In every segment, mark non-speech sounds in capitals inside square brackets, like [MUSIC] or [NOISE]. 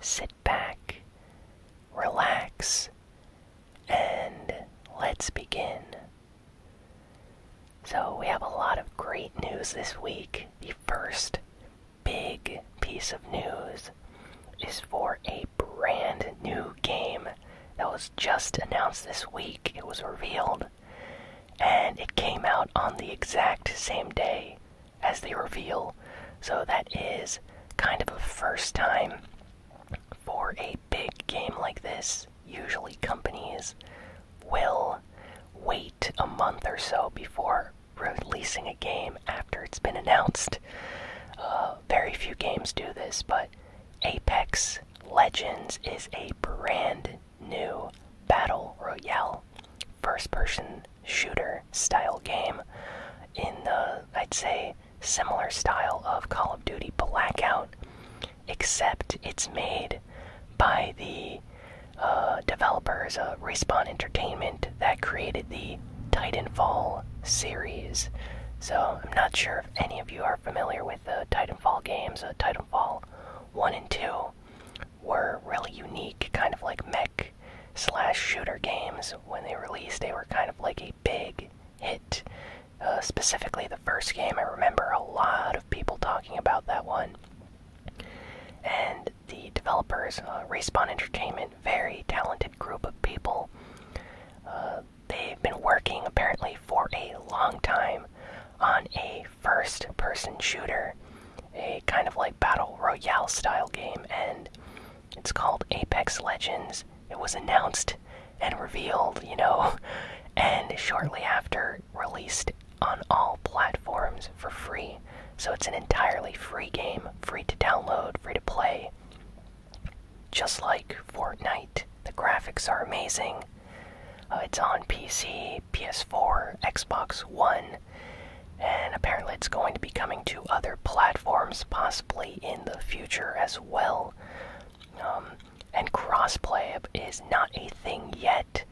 sit back, relax, and let's begin. So, we have a lot of great news this week. The first big piece of news is for a brand new game that was just announced this week. It was revealed, and it came out on the exact same day as the reveal. So, that is kind of a first time for a big game like this, usually companies will wait a month or so before releasing a game after it's been announced. Uh, very few games do this, but Apex Legends is a brand new battle royale, first person shooter style game in the, I'd say, similar style of Call of Duty Blackout, except it's made by the uh, developers of uh, Respawn Entertainment that created the Titanfall series. So I'm not sure if any of you are familiar with the Titanfall games. Uh, Titanfall 1 and 2 were really unique, kind of like mech slash shooter games when they released they were kind of like a big hit uh, specifically the first game i remember a lot of people talking about that one and the developers uh, respawn entertainment very talented group of people uh, they've been working apparently for a long time on a first person shooter a kind of like battle royale style game and it's called Apex Legends. It was announced and revealed, you know, [LAUGHS] and shortly after released on all platforms for free. So it's an entirely free game, free to download, free to play. Just like Fortnite, the graphics are amazing. Uh, it's on PC, PS4, Xbox One, and apparently it's going to be coming to other platforms possibly in the future as well. Um, and crossplay is not a thing yet,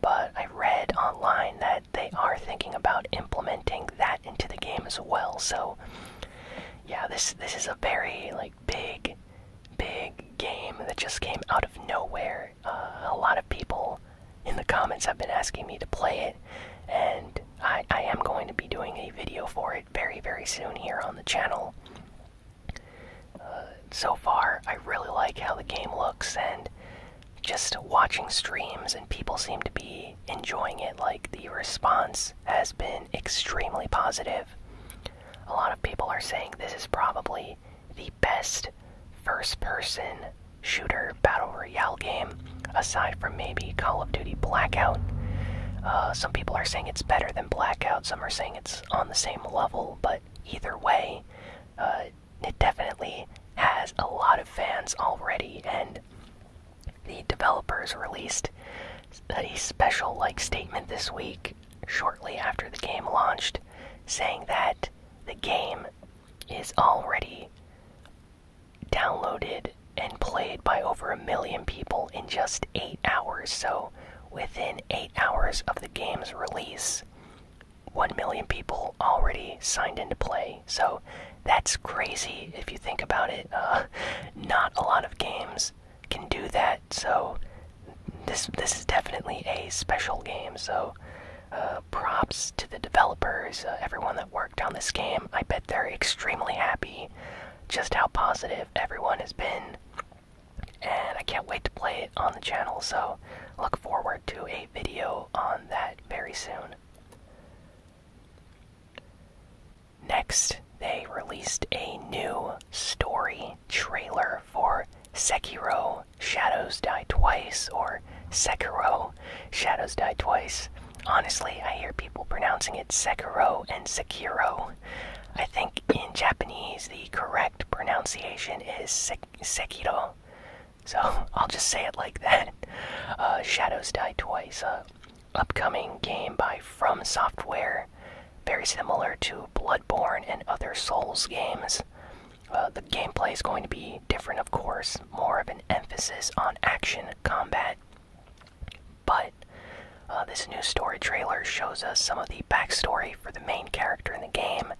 but I read online that they are thinking about implementing that into the game as well. So, yeah, this this is a very like big, big game that just came out of nowhere. Uh, a lot of people in the comments have been asking me to play it, and I, am going to be doing a video for it very, very soon here on the channel. Uh, so far, I really like how the game looks, and just watching streams, and people seem to be enjoying it. Like, the response has been extremely positive. A lot of people are saying this is probably the best first person shooter battle royale. Royale game, aside from maybe Call of Duty Blackout. Uh, some people are saying it's better than Blackout, some are saying it's on the same level, but either way, uh, it definitely has a lot of fans already, and the developers released a special like statement this week, shortly after the game launched, saying that the game is already downloaded and played by over a million people in just eight hours. So, within eight hours of the game's release, one million people already signed into play. So, that's crazy if you think about it. Uh, [LAUGHS] not a lot of games can do that. So, this this is definitely a special game. So. Uh, props to the developers, uh, everyone that worked on this game. I bet bit, they're extremely happy just how positive everyone has been. And I can't wait to play it on the channel, so look forward to a video on that very soon. Next, they released a new story trailer for Sekiro Shadows Die Twice, or Sekiro Shadows Die Twice. Honestly, I hear people pronouncing it Sekiro and Sekiro. I think in Japanese the correct pronunciation is Sek Sekiro. So [LAUGHS] I'll just say it like that. Uh, Shadows Die Twice, uh, upcoming game by From Software, very similar to Bloodborne and other Souls games. Uh, the gameplay is going to be different, of course, more of an emphasis on action combat. But uh, this new story trailer shows us some of the backstory for the main character in the game.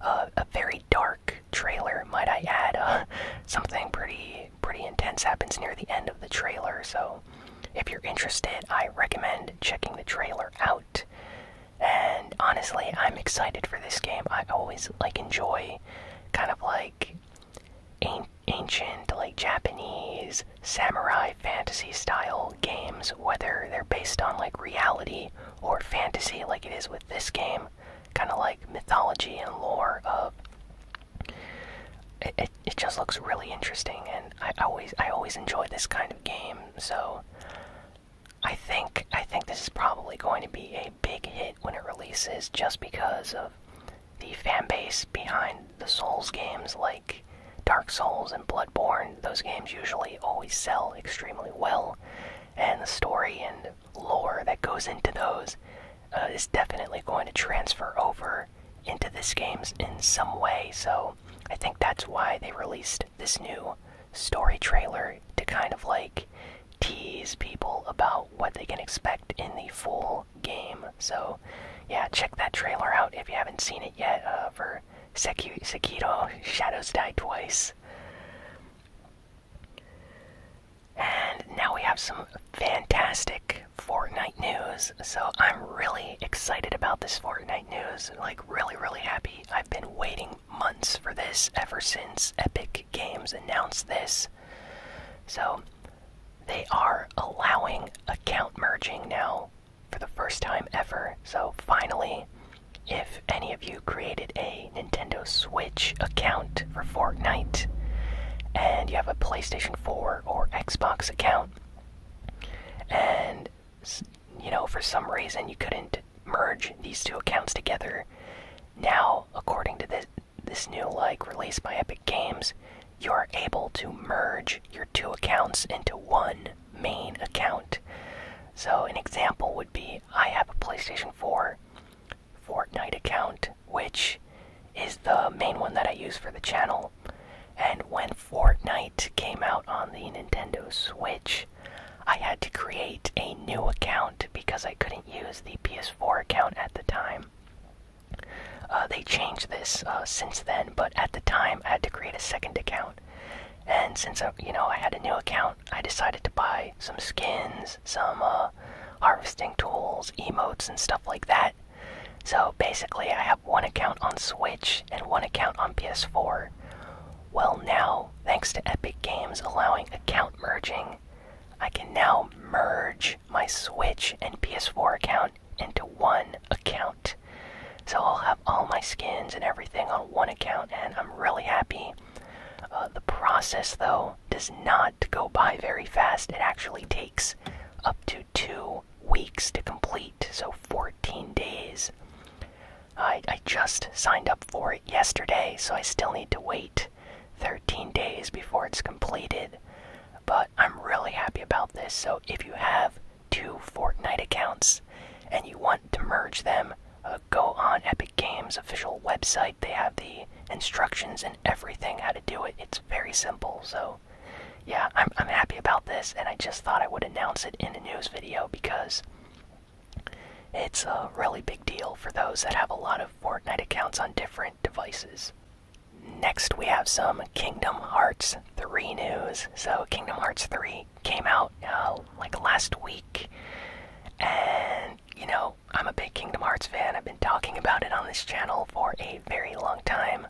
Uh, a very dark trailer, might I add. Uh, [LAUGHS] something pretty pretty intense happens near the end of the trailer, so if you're interested, I recommend checking the trailer out. And honestly, I'm excited for this game. I always like enjoy kind of like ancient, like Japanese samurai fantasy style games, whether they're based on like reality or fantasy, like it is with this game, kind of like mythology and lore of. It, it, it just looks really interesting, and I always I always enjoy this kind of game. So I think I think this is probably going to be a big hit when it releases, just because of the fanbase behind the Souls games, like Dark Souls and Bloodborne, those games usually always sell extremely well, and the story and lore that goes into those uh, is definitely going to transfer over into this game's in some way. So I think that's why they released this new story trailer to kind of like tease people about what they can expect in the full game. So, yeah, check that trailer out if you haven't seen it yet uh, for Seki Sekiro Shadows Die Twice. And now we have some fantastic Fortnite news. So I'm really excited about this Fortnite news. Like, really, really happy. I've been waiting months for this ever since Epic Games announced this. So, they are allowing account merging now for the first time ever. So, finally, if any of you created a Nintendo Switch account for Fortnite and you have a PlayStation 4 or Xbox account, and you know, for some reason you couldn't merge these two accounts together, now, according to this, this new like release by Epic Games, you're able to merge your two accounts into one main account. So an example would be I have a PlayStation 4 Fortnite account, which is the main one that I use for the channel. And when Fortnite came out on the Nintendo Switch, I had to create a new account because I couldn't use the PS4 account at the time. Uh, they changed this uh, since then, but at the time I had to create a second account. And since I, uh, you know I had a new account, I decided to buy some skins, some harvesting tools, emotes, and stuff like that. So basically, I have one account on Switch and one account on PS4. Well, now, thanks to Epic Games allowing account merging, I can now merge my Switch and PS4 account into one account. So I'll have all my skins and everything on one account, and I'm really happy. Uh, the process, though, does not go by very fast. It actually takes up to two weeks to complete, so 14 days. I, I just signed up for it yesterday, so I still need to wait 13 days before it's completed. But I'm really happy about this. So if you have two Fortnite accounts and you want to merge them, uh, go on Epic Games official website. They have the instructions and everything how to do it. It's very simple. So yeah, I'm I'm happy about this and I just thought I would announce it in the news video because it's a really big deal for those that have a lot of Fortnite accounts on different devices. Next, we have some Kingdom Hearts 3 news. So, Kingdom Hearts 3 came out uh, like last week, and you know, I'm a big Kingdom Hearts fan. I've been talking about it on this channel for a very long time.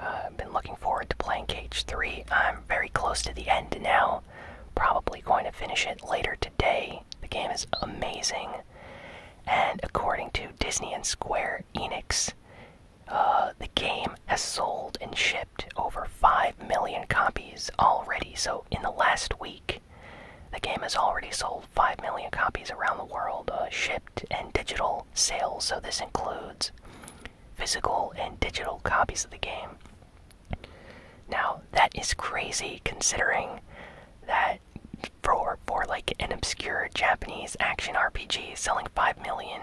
Uh, I've been looking forward to playing Cage 3. I'm very close to the end now. Probably going to finish it later today. The game is amazing. And according to Disney and Square Enix, uh, the game has sold and shipped over 5 million copies already. So, in the last week, the game has already sold 5 million copies around the world, uh, shipped and digital sales. So, this includes physical and digital copies of the game. Now, that is crazy considering that for for like an obscure Japanese action RPG selling 5 million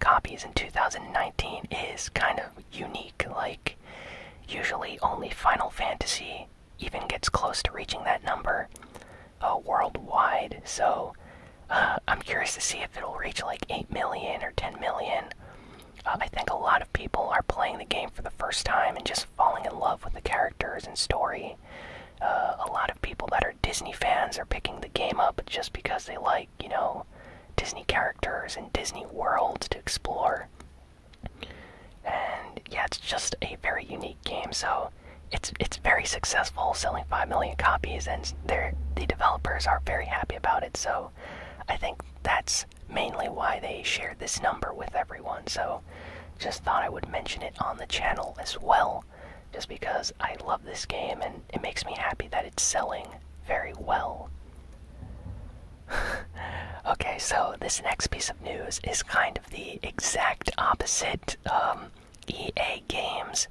copies in 2019 is kind of unique. Like usually only Final Fantasy even gets close to reaching that number uh, worldwide. So uh, I'm curious to see if it'll reach like 8 million or 10 million. Uh, I think a lot of people are playing the game for the first time and just falling in love with the characters and story uh, a lot of people that are Disney fans are picking the game up just because they like, you know, Disney characters and Disney worlds to explore. And yeah, it's just a very unique game. So it's it's very successful, selling five million copies, and the developers are very happy about it. So I think that's mainly why they shared this number with everyone. So just thought I would mention it on the channel as well, just because I love this game and it makes me happy that it's selling very well. [LAUGHS] okay, so this next piece of news is kind of the exact opposite. Um, EA Games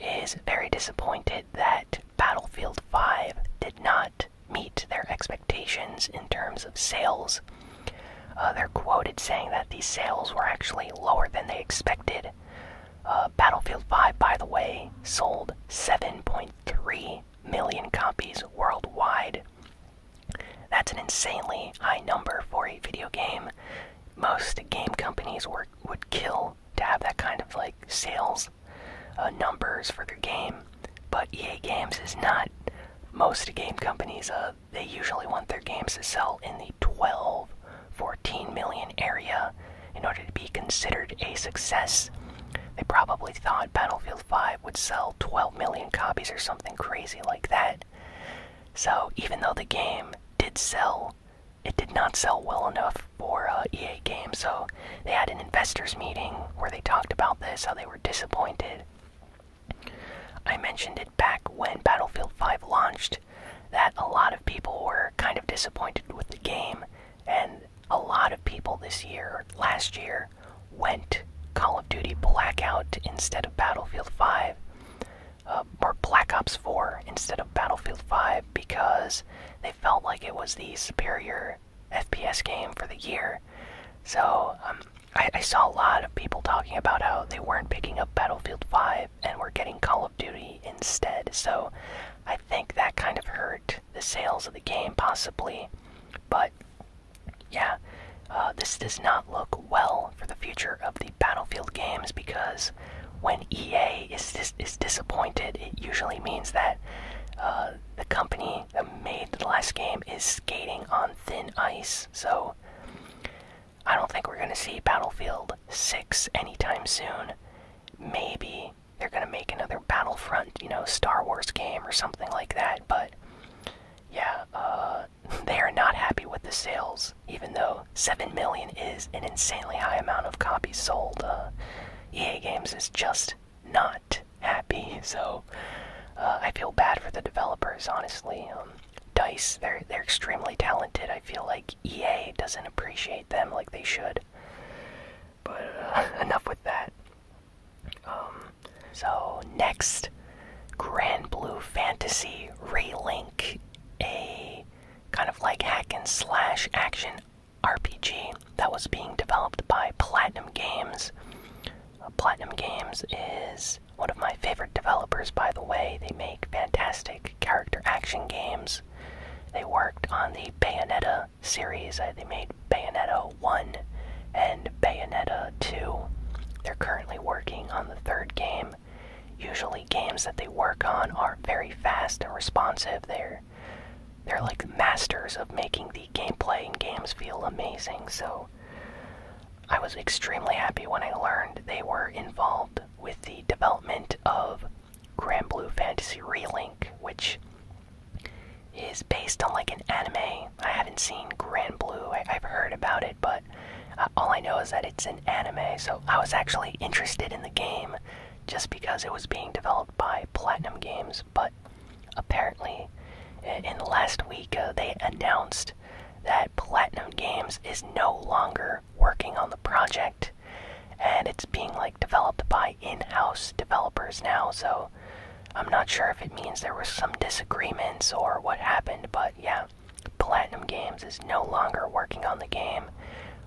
is very disappointed that Battlefield 5 did not meet their expectations in terms of sales. Uh, they're quoted saying that these sales were actually lower than they expected. Uh, Battlefield 5, by the way, sold 7.3 million copies worldwide. That's an insanely high number for a video game. Most game companies would kill to have that kind of like sales uh, numbers for their game, but EA Games is not. Most game companies, they usually want their games to sell in the 12 14 million area in order to be considered a success they probably thought battlefield 5 would sell 12 million copies or something crazy like that so even though the game did sell it did not sell well enough for uh, EA Games, so they had an investors meeting where they talked about this, how they were disappointed. I mentioned it back when Battlefield 5 launched that a lot of people were kind of disappointed with the game, and a lot of people this year, last year, went Call of Duty Blackout instead of Battlefield 5, uh, or Black Ops 4 instead of Battlefield 5 because they felt like it was the superior FPS game for the year. So, um, I, saw a lot of people talking about how they weren't picking up Battlefield 5 and were getting Call of Duty instead, so I think that kind of hurt the sales of the game, possibly. But yeah, uh, this does not look well for the future of the Battlefield games because when EA is is disappointed, it usually means that uh, the company that made the last game is skating on thin ice. So I don't think we're gonna see Battlefield 6 anytime soon. Maybe they're gonna make another Battlefront, you know, Star Wars game or something like that, but yeah, uh, [LAUGHS] they are not happy with the sales, even though 7 million is an insanely high amount of copies sold. Uh, EA Games is just not happy, [LAUGHS] so uh, I feel bad for the developers, honestly. Um, Dice, they're they're extremely talented. I feel like EA doesn't appreciate them like they should. But uh, [LAUGHS] enough with that. Um, so next, Grand Blue Fantasy Relink, a kind of like hack and slash action RPG that was being developed by Platinum Games. Uh, Platinum Games is one of my favorite developers, by the way. They make fantastic character action games. They worked on the Bayonetta series. Uh, they made Bayonetta 1 and Bayonetta 2. They're currently working on the third game. Usually, games that they work on are very fast and responsive. They're they're like masters of making the gameplay in games feel amazing. So I was extremely happy when I learned they were involved with the development of Grand Blue Fantasy Relink, which is based on like an anime. I haven't seen Grand Blue, I have heard about it, but uh, all I know is that it's an anime, so I was actually interested in the game just because it was being developed by Platinum Games, but apparently in last week uh, they announced that Platinum Games is no longer working on the project and it's being like developed by in-house developers now so I'm not sure if it means there were some disagreements or what happened but yeah Platinum Games is no longer working on the game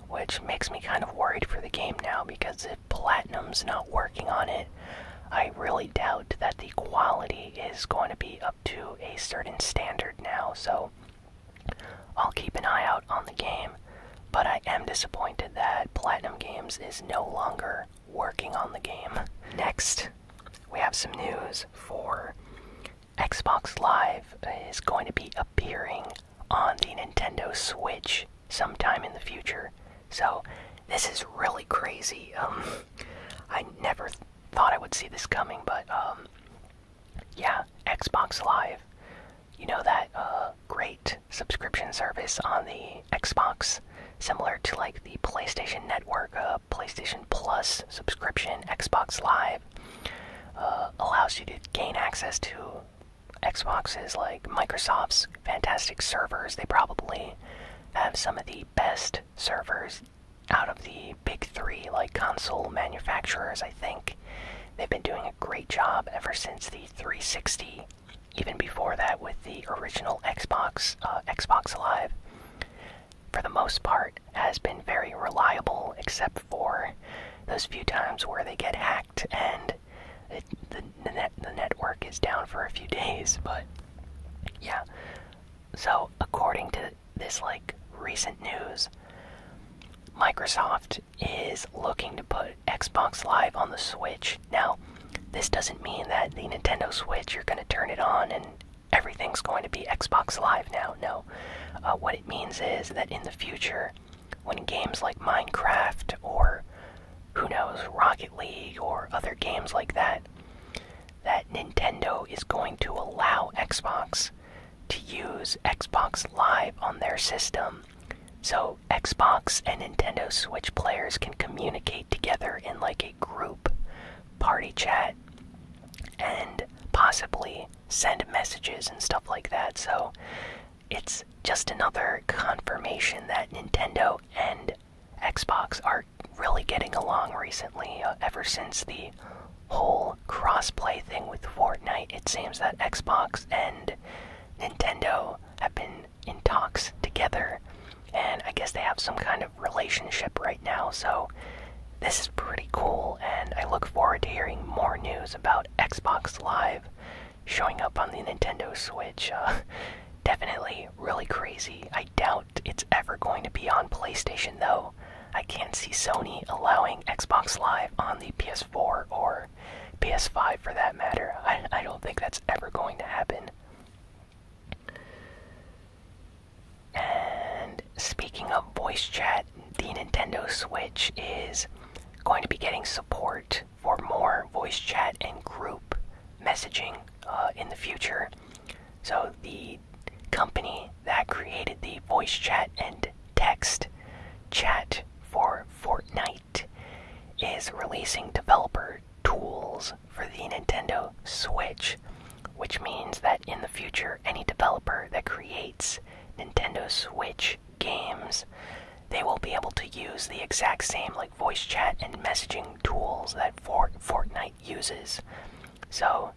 which makes me kind of worried for the game now because if Platinum's not working on it I really doubt that the quality is going to be up to a certain standard now, so I'll keep an eye out on the game. But I am disappointed that Platinum Games is no longer working on the game. Next, we have some news for Xbox Live is going to be appearing on the Nintendo Switch sometime in the future. So, this is really crazy. Um, I never thought I would see this coming, but um, yeah, Xbox Live. You know that uh, great subscription service on the Xbox, similar to like the PlayStation Network, uh, PlayStation Plus subscription, Xbox Live uh, allows you to gain access to Xboxes like Microsoft's fantastic servers. They probably have some of the best servers out of the big three, like console manufacturers, I think they've been doing a great job ever since the 360. Even before that, with the original Xbox, uh, Xbox Live, for the most part, has been very reliable, except for those few times where they get hacked and the the network is down for a few [LAUGHS] days. But yeah, so, according to this, like, recent news, Microsoft is looking to put Xbox Live on the Switch. Now, this doesn't mean that the Nintendo Switch, you're going to turn it on and everything's going to be Xbox Live now. No. Uh, what it means is that in the future, when games like Minecraft or who knows, Rocket League or other games like that that Nintendo is going to allow Xbox to use Xbox Live on their system so Xbox and Nintendo Switch players can communicate together in like a group party chat and possibly send messages and stuff like that. So it's just another confirmation that Nintendo and Xbox are really getting along recently. Uh, ever since the whole crossplay thing with Fortnite, it seems that Xbox and Nintendo have been in talks together, and I guess they have some kind of relationship right now, so this is pretty cool, and I look forward to hearing more news about Xbox Live showing up on the Nintendo Switch. Uh, [LAUGHS] definitely really crazy. I doubt it's ever going to be on PlayStation, though. I can't see Sony allowing Xbox Live on the PS4 or PS5 for that matter. I, don't think that's ever going to happen. And speaking of voice chat, the Nintendo Switch is going to be getting support for more voice chat and group messaging uh, in the future. So, the company that created the voice chat and text chat for Fortnite is releasing developer tools for the Nintendo Switch, which means that in the future, any developer that creates Nintendo Switch games, they will be able to use the exact same like voice chat and messaging tools that Fort Fortnite uses. So,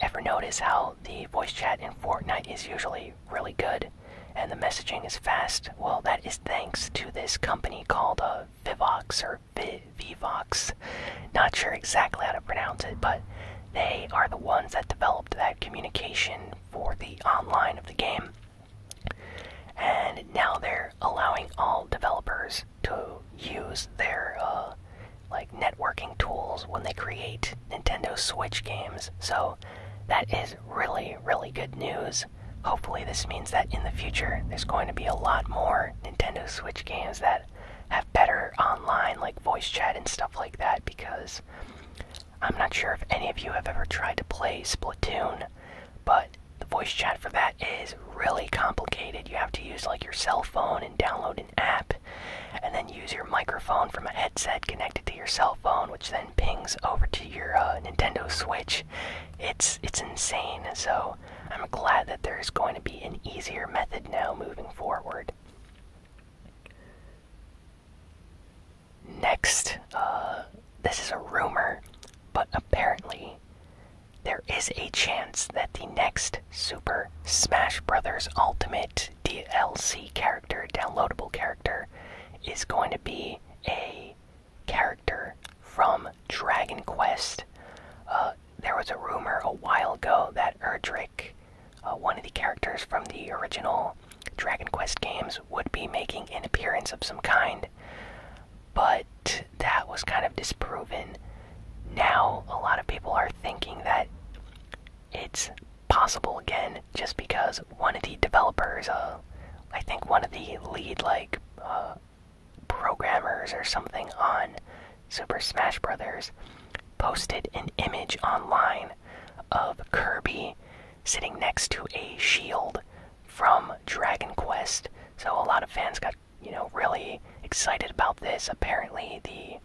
ever notice how the voice chat in Fortnite is usually really good and the messaging is fast? Well, that is thanks to this company called uh, Vivox or v Vivox. Not sure exactly how to pronounce it, but they are the ones that developed that communication for the online of the game. And now they're allowing all developers to use their uh, like networking tools when they create Nintendo Switch games. So that is really, really good news. Hopefully, this means that in the future there's going to be a lot more Nintendo Switch games that have better online, like voice chat and stuff like that, because I'm not sure if any of you have ever tried to play Splatoon, but the voice chat for that is really complicated. You have to use like your cell phone and download an app, and then use your microphone from a headset connected to your cell phone, which then pings over to your uh, Nintendo Switch. It's it's insane. So I'm glad that there's going to be an easier method now moving forward. Next, uh, this is a rumor, but apparently there is a chance that the next Super Smash Bros. Ultimate DLC character, downloadable character, is going to be a character from Dragon Quest. Uh, there was a rumor a while ago that Erdrick, uh, one of the characters from the original Dragon Quest games, would be making an appearance of some kind, but that was kind of disproven. Now, a lot of people are thinking that it's possible again just because one of the developers, uh, I think one of the lead, like, uh, programmers or something on Super Smash Brothers posted an image online of Kirby sitting next to a shield from Dragon Quest. So a lot of fans got you know, really excited about this. Apparently, the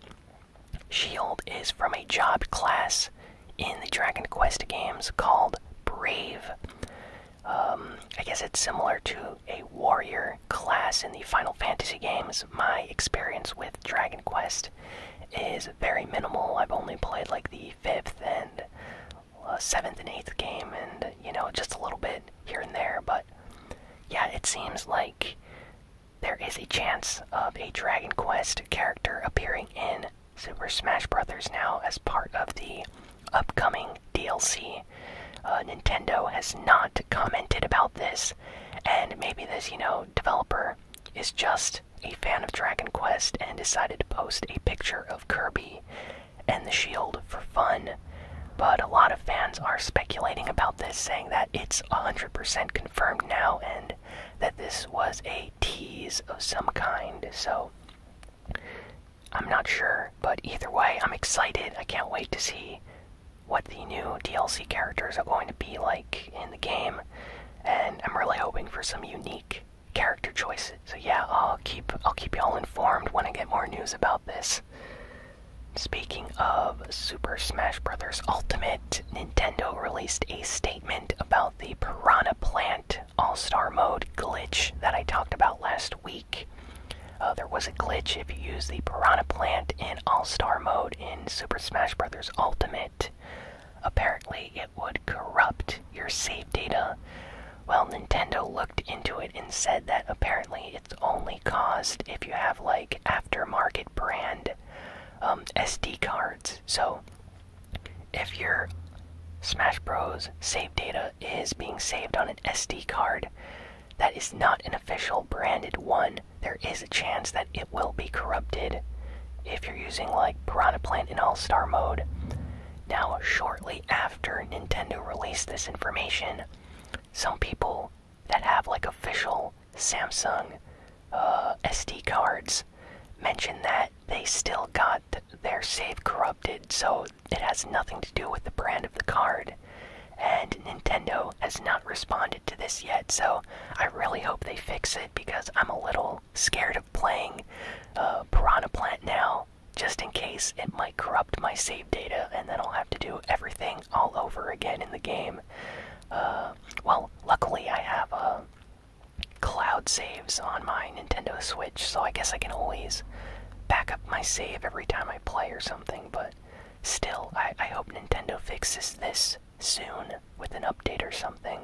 shield is from a job class in the Dragon Quest games called Brave. Um, I guess it's similar to a warrior class in the Final Fantasy games. My experience with Dragon Quest is very minimal. I've only played like the fifth and uh, seventh and eighth game, and you know, just a little bit here and there, but yeah, it seems like there is a chance of a Dragon Quest character appearing in Super Smash Brothers now as part of the upcoming DLC. Uh, Nintendo has not commented about this, and maybe this, you know, developer is just a fan of Dragon Quest and decided to post a picture of Kirby and the shield for fun. But a lot of fans are speculating about this, saying that it's 100% confirmed now and that this was a tease of some kind. So I'm not sure, but either way, I'm excited. I can't wait to see what the new DLC characters are going to be like in the game, and I'm really hoping for some unique character choices. So yeah, I'll keep I'll keep y'all informed when I get more news about this. Speaking of Super Smash Bros. Ultimate, Nintendo released a statement about the Piranha Plant All Star Mode glitch that I talked about last week. Uh, there was a glitch if you use the Piranha Plant in All Star Mode in Super Smash Bros. Ultimate. Apparently, it would corrupt your save data, well, Nintendo looked into it and said that apparently it's only caused if you have like aftermarket brand um, SD cards. So if your Smash Bros. save data is being saved on an SD card that is not an official branded one, there is a chance that it will be corrupted if you're using like Piranha Plant in All Star mode. Now, shortly after Nintendo released this information, some people that have like official Samsung uh, SD cards mention that they still got their save corrupted, so it has nothing to do with the brand of the card. And Nintendo has not responded to this yet, so I really hope they fix it because I'm a little scared of playing uh, Piranha Plant now just in case it might corrupt my save data, and then I'll have to do everything all over again in the game. Uh, well, luckily I have a uh, cloud saves on my Nintendo Switch, so I guess I can always back up my save every time I play or something, but still, I hope Nintendo fixes this soon with an update or something.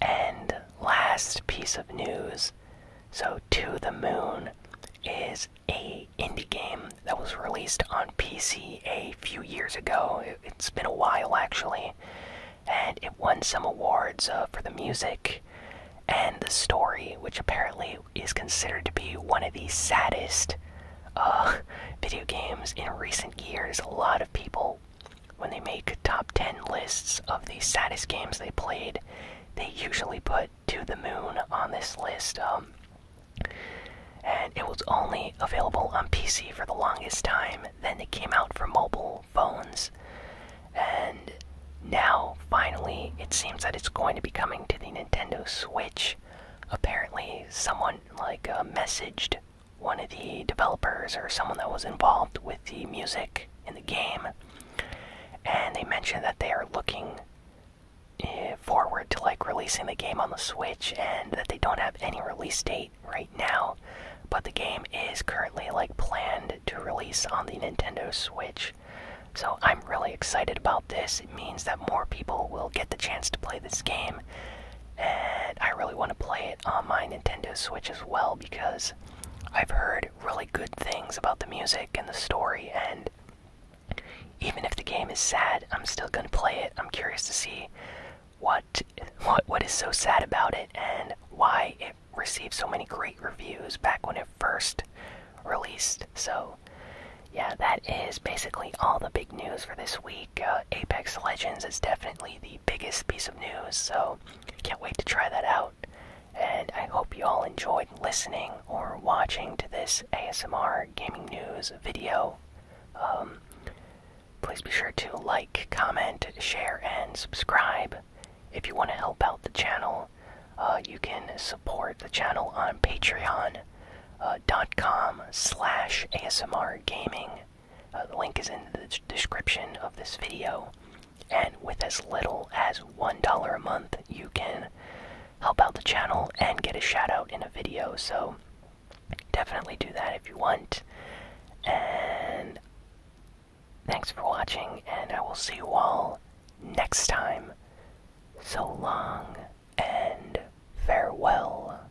And last piece of news so To the Moon is a indie game that was released on PC a few years ago. It, has been a while actually, and it won some awards uh, for the music and the story, which apparently is considered to be one of the saddest uh, [LAUGHS] video games in recent years. A lot of people, when they make top 10 lists of the saddest games they played, they usually put to the moon on this list. Um, and it was only available on PC for the longest time. Then it came out for mobile phones. And now, finally, it seems that it's going to be coming to the Nintendo Switch. Apparently, someone like uh, messaged one of the developers or someone that was involved with the music in the game. And they mentioned that they are looking eh, forward to like releasing the game on the Switch and that they don't have any release date right now, but the game is currently like planned to release on the Nintendo Switch. So I'm really excited about this. It means that more people will get the chance to play this game. And I really want to play it on my Nintendo Switch as well because I've heard really good things about the music and the story and even if the game is sad i'm still going to play it i'm curious to see what what what is so sad about it and why it received so many great reviews back when it first released so yeah that is basically all the big news for this week uh, apex legends is definitely the biggest piece of news so can't wait to try that out and I hope you all enjoyed listening or watching to this ASMR gaming news video. Um, please be sure to like, comment, share, and subscribe. If you want to help out the channel, uh, you can support the channel on patreon.com uh, slash ASMR gaming. Uh, the link is in the description of this video. And with as little as $1 a month, you can help out the channel and get a shout out in a video. So definitely do that if you want. And thanks for watching, and I will see you all next time. So long and farewell.